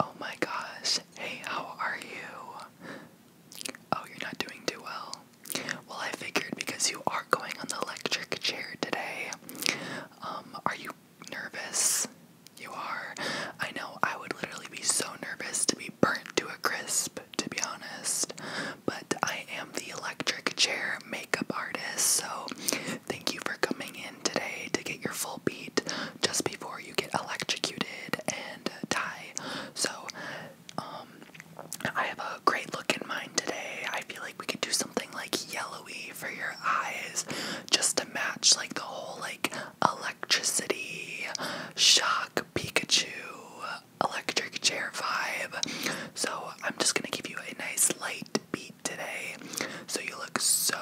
Oh my gosh. Hey, how are you? Oh, you're not doing too well. Well, I figured because you are going on the electric chair today. Um, are you nervous? You are. I know I would literally be so nervous to be burnt to a crisp, to be honest. But I am the electric chair makeup artist, so thank you for coming in today to get your full beat just before you get electrocuted and uh, die. So, um, I have a great look in mind today. I feel like we could do something like yellowy for your eyes just to match like the whole like electricity, shock, Pikachu, electric chair vibe. So, I'm just gonna give you a nice light beat today so you look so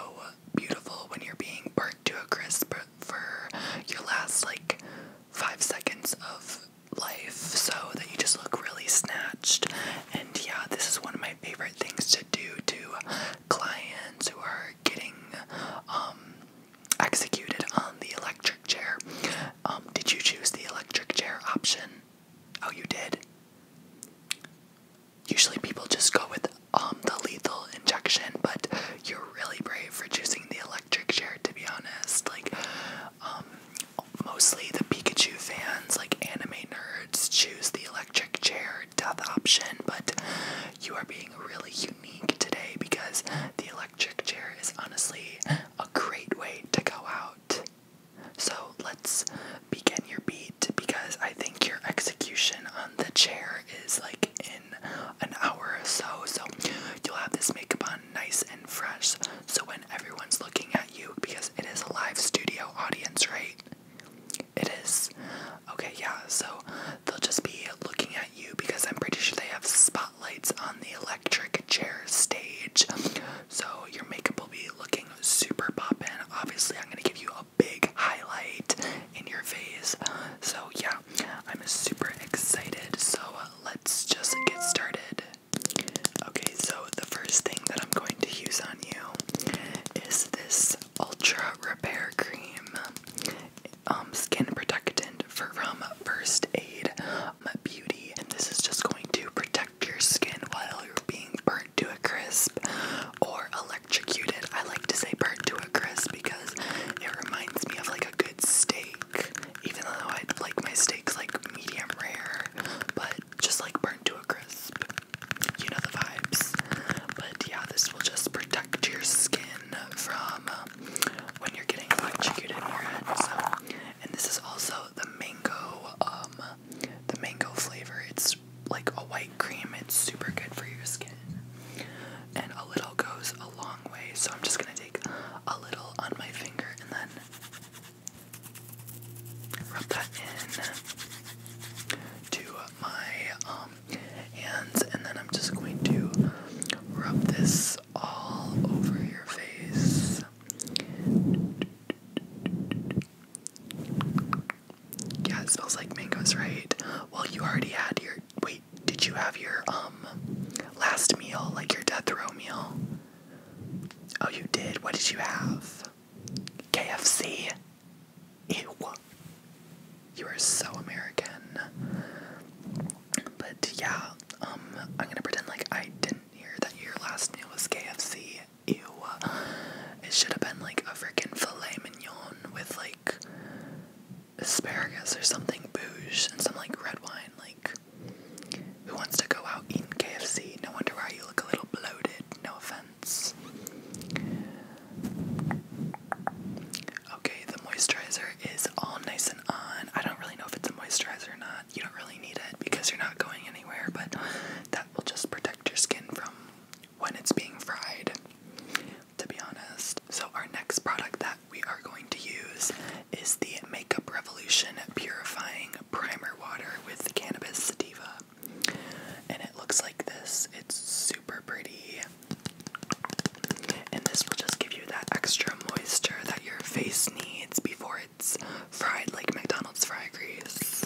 beautiful when you're being burnt to a crisp for your last like five seconds of life so that you just look really snatched. And yeah, this is one of my favorite things to do to clients who are getting um executed on the electric chair. Um, did you choose the electric chair option? Oh, you did? usually people just go with um, the lethal injection, but you're really brave for choosing the electric chair to be honest. Like um, mostly the Pikachu fans, like anime nerds, choose the electric chair death option, but you are being really unique today because the electric chair is honestly a great way to go out. So let's begin your beat because I think your execution the chair is like in an hour or so. So you'll have this makeup on nice and fresh. So when everyone's looking at you, because it is a live studio audience, right? It is. Okay, yeah. So they'll just be looking at you because I'm pretty sure they have spotlights on the electric chair stage. So your makeup will be looking super poppin'. Obviously, I'm gonna give you big highlight in your face. So, yeah, I'm super excited. So, let's just get started. Okay, so the first thing that I'm going to use on you is this Ultra Repair Cream um, Skin Protectant from First Aid Beauty. And this is just going to protect your skin while you're being burnt to a crisp or electrocuted. I like to say burnt to a crisp because it reminds me of like a good steak, even though I like my steaks like medium rare, but just like burnt to a crisp. You know the vibes. But yeah, this will just protect your skin from uh, when you're getting electrocuted in your head. So, and this is also the mango, um, the mango flavor. It's like a white cream. It's super good for your skin. And a little goes a long way, so I'm just gonna take a little on my finger and then rub that in to my um, hands, and then I'm just going to rub this all over your face. Yeah, it smells like mangoes, right? Well, you already had your. Wait, did you have your um last meal, like your death row meal? Oh, you did. What did you have? KFC. Ew. You are so American. But yeah, um, I'm gonna pretend like I didn't hear that your last meal was KFC ew. It should have been like a freaking filet mignon with like asparagus or something bouge and some like red wine. Like, who wants to go out eating KFC? No wonder why you look a little bloated. No offense. Okay, the moisturizer is all nice and on. I don't really know if it's a moisturizer or not. You don't really need it because you're not going anywhere, but that will just protect your skin from when it's being fried, to be honest. So, our next product that we are going to use is the Makeup Revolution Purifying Primer Water with Cannabis Sativa. And it looks like this. It's super pretty. And this will just give you that extra moisture that your face needs before it's fried like McDonald's fry grease.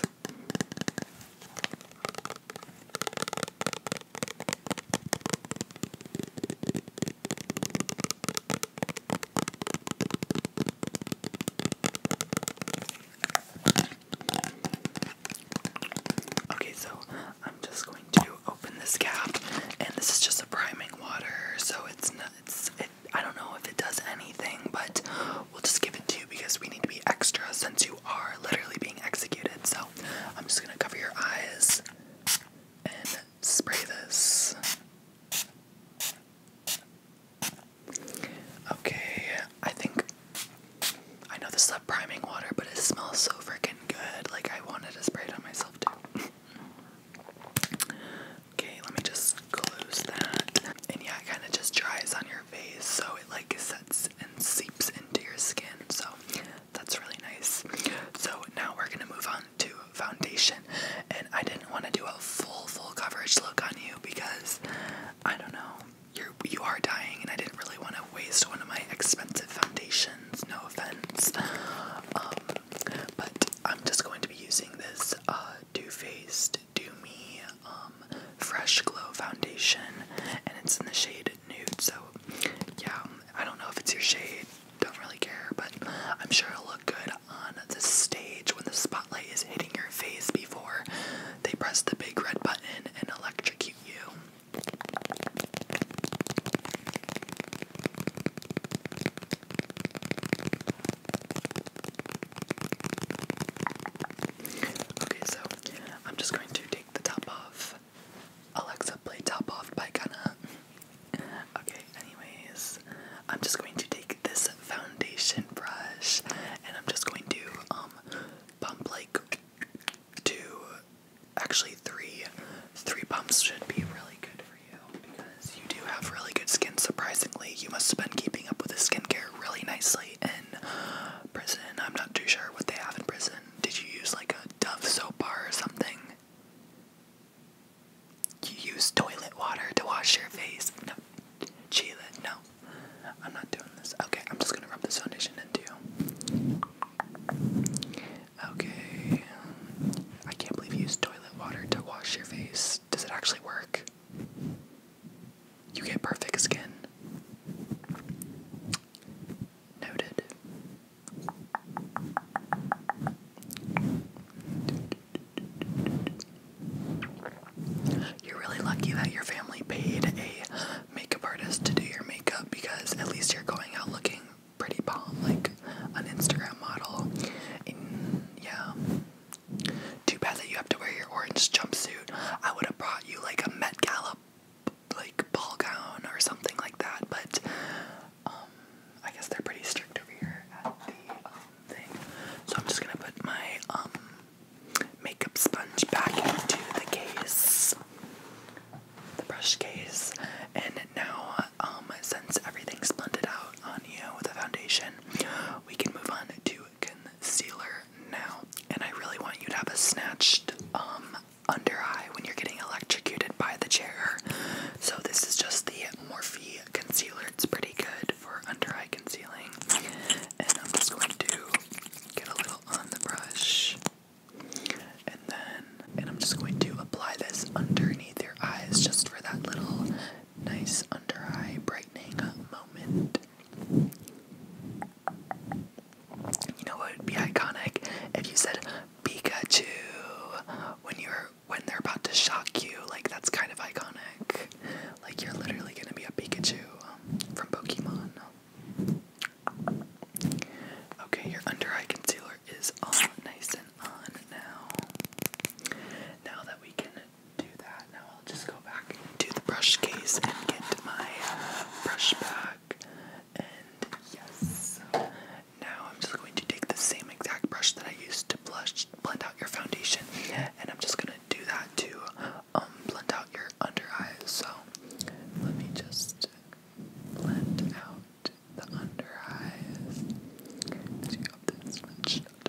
Okay, so I'm just going to open this cap, and this is just a priming water, so it's not, it's, it, I don't know if it does anything, but we'll just give it to you because we need to be extra since you are literally being executed. So I'm just gonna cover your eyes and spray this. Okay, I think I know this is priming water, but it smells so freaking good. Like I wanted to spray it on myself too. okay, let me just close that. And yeah, it kind of just dries on your face, so it like sets seeps into your skin. So that's really nice. So now we're gonna move on to foundation, and I didn't want to do a full full coverage look on you because I don't know you're you are dying, and I didn't really want to waste one of my expensive foundations. No offense. Um, but I'm just going to be using this uh, Too Faced do Me um, Fresh Glow Foundation, and it's in the shade Nude. So, yeah, I don't know if it's your shade, don't really care, but I'm sure it'll look good on the stage when the spotlight is hitting your face before they press the big red button and electrocute you. Okay, so I'm just going to take the top off. Alexa, play Top Off by Gunna. okay, anyways, I'm just going to take this foundation brush and I'm just going to um, pump like two, actually three, three pumps should be really good for you because you do have really good skin. Surprisingly, you must have been keeping up with the skincare really nicely in prison. I'm not too sure what they have in prison. Did you use like a Dove soap bar or something? You use toilet water to wash your face? No. Sheila, no. I'm not doing this. Okay, I'm just gonna rub this foundation into you. Okay. I can't believe you use toilet water to wash your face. Does it actually work? You get perfect skin. Noted. You're really lucky that your family paid a makeup artist to do your makeup because at least you're going out looking pretty bomb, like an Instagram model. yeah, too bad that you have to wear your orange jumpsuit. I would have brought you like a Met Gala like ball gown or something like that, but um I guess they're pretty strict over here at the um thing. So I'm just gonna put my um makeup sponge back into the case. The brush case. And now um since everything's blended out on you with the foundation, we can move on to concealer now. And I really want you to have a snatched um, under eye when you're getting electrocuted by the chair. So this is just the Morphe concealer. It's pretty good for under eye concealing. And I'm just going to get a little on the brush. And then, and I'm just going to apply this underneath your eyes just for that little nice under eye brightening moment. You know what would be iconic if you said Pikachu when you're when they're about to shock you. Like that's kind of iconic. Like you're literally gonna be a Pikachu um, from Pokemon. Okay, your under eye concealer is all nice and on now. Now that we can do that. Now I'll just go back to the brush case and get my uh, brush back. And yes, now I'm just going to take the same exact brush that I used to blush, blend out your foundation, and I'm just gonna do that to um, blend out your under eyes. So let me just blend out the under eyes. you got this much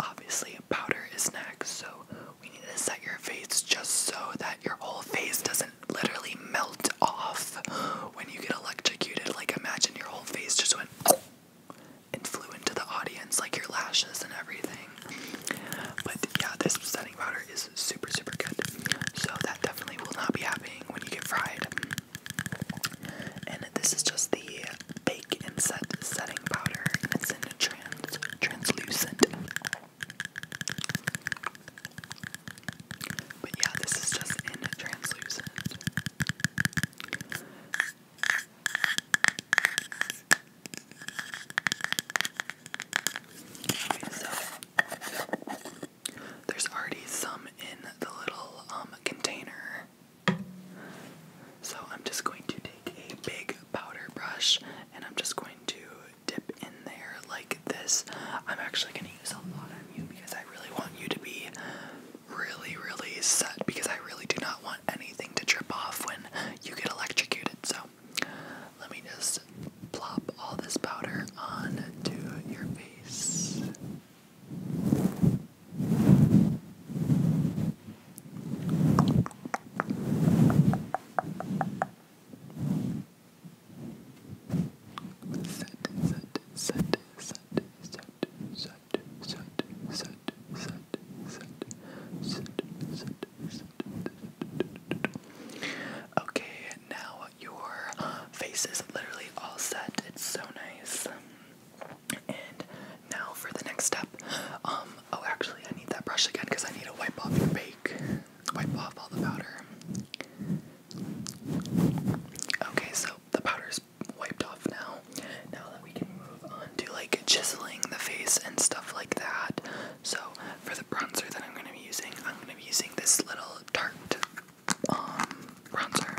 obviously powder is next, so we need to set your face just so that your whole face doesn't literally melt off when you get electrocuted. Like imagine your whole face just went and flew into the audience, like your lashes and everything. But yeah, this setting powder is super super good. So that definitely will not be happening when you get fried. And this is just the Bake and Set Setting Powder, and it's in trans translucent. But yeah, this is just in translucent. there's already some in the little um container so I'm just going to take a big powder brush and I'm just going to dip in there like this. I'm actually going to use a lot of you because I really want you to be really, really set because I really do not want anything to drip off when you get electrocuted. So let me just plop all this powder onto your face. Okay, and now your face is literally all set. It's so nice. And now for the next step. Um, oh, actually, I need that brush again because I need to wipe off your bake, wipe off all the powder. Okay, so the powder's wiped off now. Now that we can move on to like chiseling the face and stuff like that. So for the bronzer that I'm gonna be using, I'm gonna be using this little Tarte um, bronzer.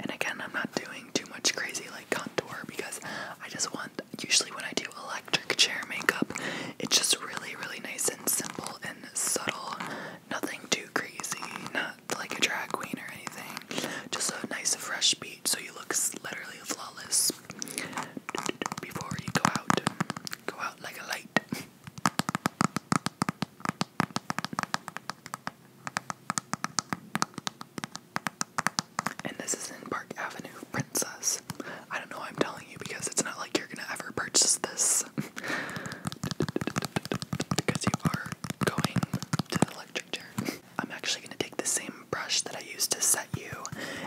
And again, I'm not doing too much crazy like contour because I just want, usually when I do electric chair makeup, it's just really, really nice and simple and subtle. Nothing too crazy, not like a drag queen or anything. Just a nice fresh beat so you look literally flawless before you go out. Go out like a light. And this is in Park Avenue, Princess. I don't know I'm telling you because it's not like you're gonna ever purchase this. because you are going to the electric chair. I'm actually gonna take the same brush that I used to set you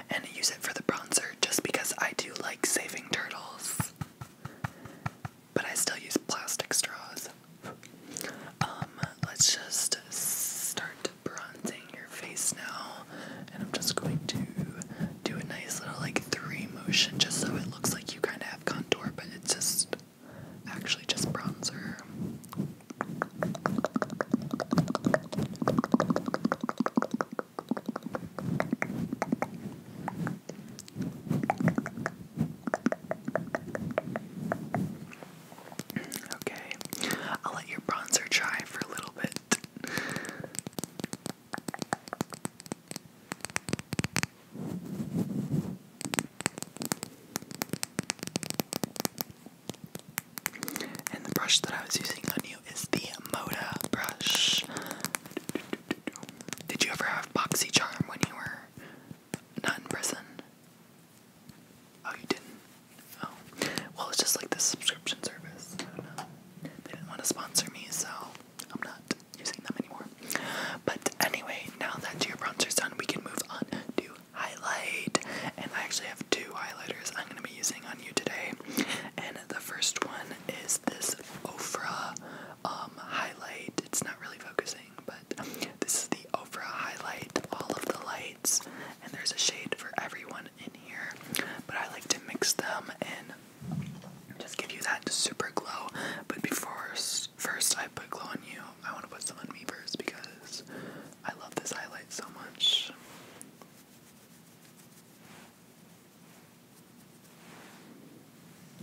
and use it for the bronzer just because I do like saving turtles but I still use plastic straws. Um, let's just start bronzing your face now, and I'm just going to do a nice little like three motion just so it looks like you kind of have contour, but it's just actually just bronzer. Okay, I'll let your bronzer dry for a little bit. And the brush that I was using on you is the Moda brush. Did you ever have Boxy when you were not in prison. Oh, you didn't? Oh. Well, it's just like the subscription service. They didn't want to sponsor me, so I'm not using them anymore. But anyway, now that your bronzer's done, we can move on to highlight. And I actually have two highlighters I'm going to be using on you today. And the first one is this Ofra um, highlight. It's not really focusing, but this is the overall highlight, all of the lights, and there's a shade for everyone in here, but I like to mix them and just give you that super glow, but before first I put glow on you, I want to put some on me first because I love this highlight so much.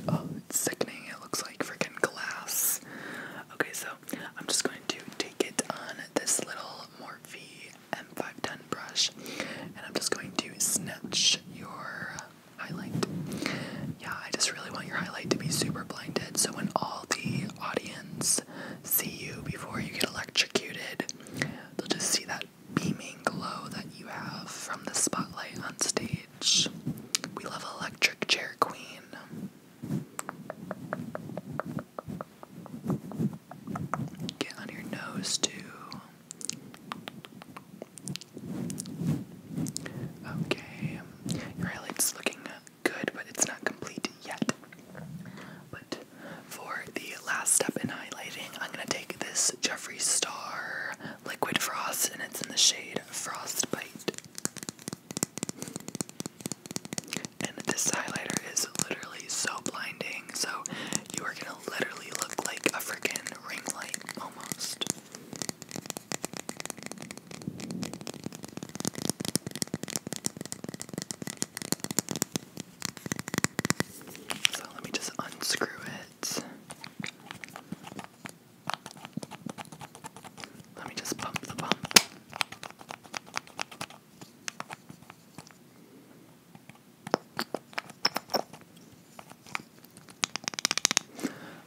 Oh, it's sickening. It looks like freaking glass. Okay, so I'm just going to take it on this little Morphe M510 brush and I'm just going to snatch your highlight. Yeah, I just really want your highlight to be super blinded so when all the audience see you before you get electrocuted, they'll just see that beaming glow that you have from the spotlight on stage. We love Electric Chair Queen. Get on your nose too. Okay, your highlight's looking good, but it's not complete yet. But for the last step in highlighting, I'm gonna take this Jeffree Star Liquid Frost, and it's in the shade Frostbite. And this highlighter is literally so blinding, so you are gonna literally look like a freaking ring light almost. So let me just unscrew it. Let me just pump the pump.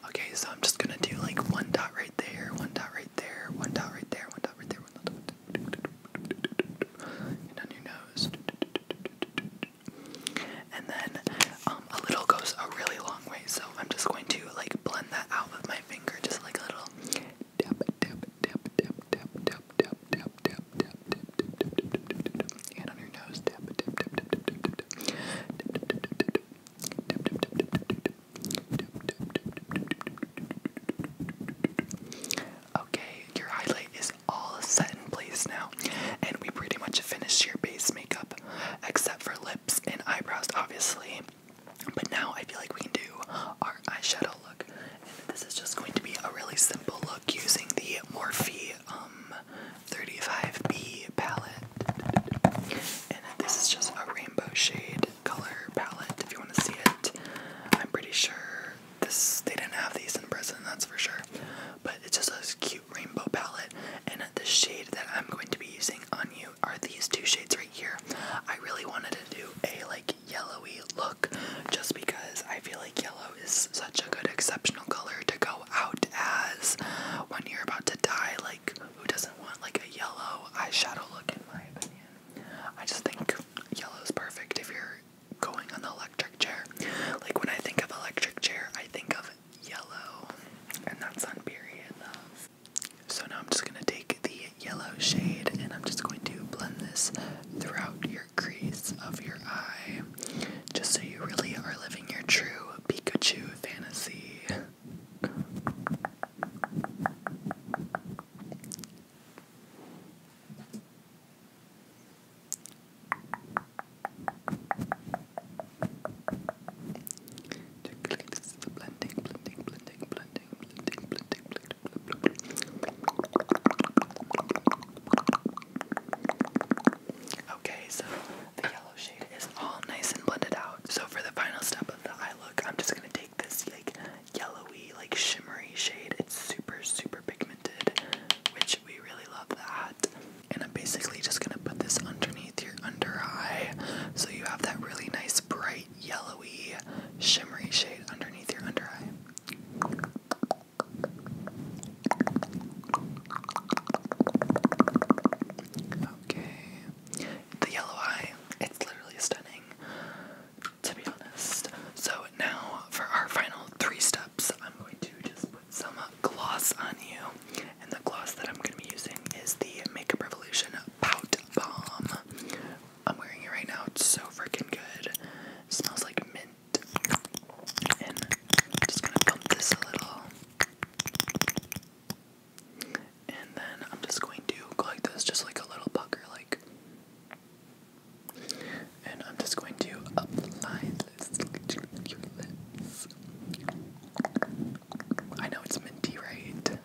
Okay, so I'm just gonna do like one dot right there, one dot right there, one dot right there, one dot right there, one dot right there. And on your nose and then a little goes a really long way. So I'm just going to like blend that out with my finger, just like a little tap, tap, tap, tap, tap, tap, tap, tap, tap, tap, tap, and on your nose, tap, tap, tap, tap, tap, tap, tap, Okay, your highlight is all set in place now. And we pretty much finished your base makeup, except for lips and eyebrows, obviously. But now I feel like we can do our eyeshadow look. And this is just going to be a really simple look using the Morphe 35B um, palette. And this is just a rainbow shade color palette if you want to see it. I'm pretty sure this they didn't have these in prison, that's for sure but it's just a cute rainbow palette. And the shade that I'm going to be using on you are these two shades right here. I really wanted to do a like yellowy look just because I feel like yellow is such a good exceptional color to go out as when you're about to die. Like, who doesn't want like a yellow eyeshadow look, in my opinion? I just think yellow is perfect if you're going on the electric chair. Like, when I think of electric chair, I think of yellow, and that's on period love. So now I'm just gonna take the yellow shade and I'm just going to blend this throughout your crease of your eye, just so you really are living your true Pikachu fantasy. Okay, so the yellow shade is all nice and blended out. So for the final step of the eye look, I'm just gonna take this like yellowy, like shimmery shade. It's super, super pigmented, which we really love that. And I'm basically just gonna put this underneath your under eye so you have that really nice bright yellowy shimmery shade underneath your under eye. Okay. The yellow eye, it's literally stunning, to be honest. So now for our final three steps, I'm going to just some gloss on you. And the gloss that I'm going to be using is the Makeup Revolution Pout Balm. I'm wearing it right now. It's so freaking good. It smells like mint. And I'm just going to pump this a little. And then I'm just going to go like this, just like a little pucker, like. And I'm just going to apply I know it's minty, right?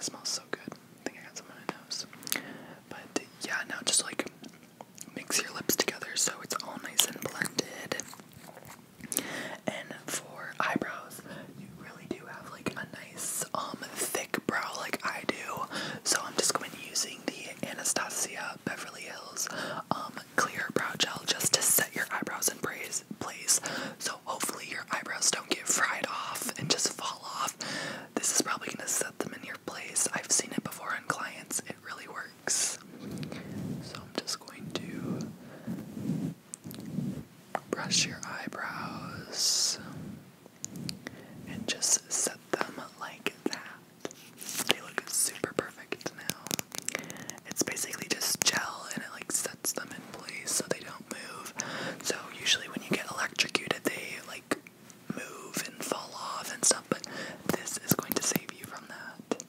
smells so good. I think I got some on my nose. But yeah, now just like mix your lips together so it's all nice and blended. And for eyebrows, you really do have like a nice, um, thick brow like I do. So I'm just going to be using the Anastasia Beverly Hills um clear brow gel just to set your eyebrows in place. So hopefully your eyebrows don't get fried off and just fall off. This is probably gonna set them in your place. I've seen it before on clients. It really works. So I'm just going to brush your eyebrows and just set them like that. They look super perfect now. It's basically just gel and it like sets them in place so they don't move. So usually when you get electrocuted they like move and fall off and stuff, but this is going to save you from that.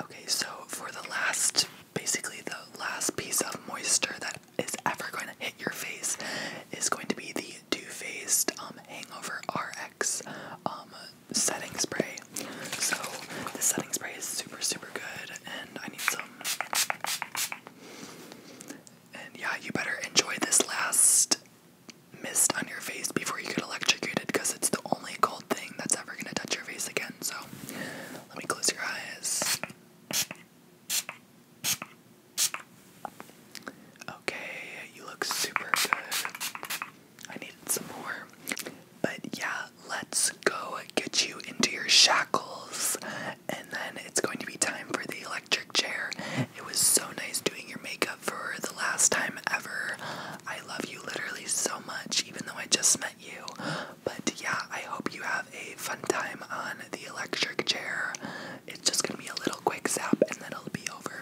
Okay, so for the last basically the last piece of moisture that is ever going to hit your face is going to be the Too Faced um, Hangover RX um, setting spray. So the setting spray is super super good and I need some. And yeah, you better enjoy this last mist on your face before you get electrocuted because it's the only cold thing that's ever gonna touch your face again. So let me close your eyes. Okay, you look super good. I needed some more. But yeah, let's go get you into your shackles. And then it's going to be time for the electric chair. It was so nice doing your makeup for the last time ever. I love you literally so much, even though I just met you. But yeah, I hope you have a fun time on the electric chair. It's just gonna be a little quick zap and then it'll be over.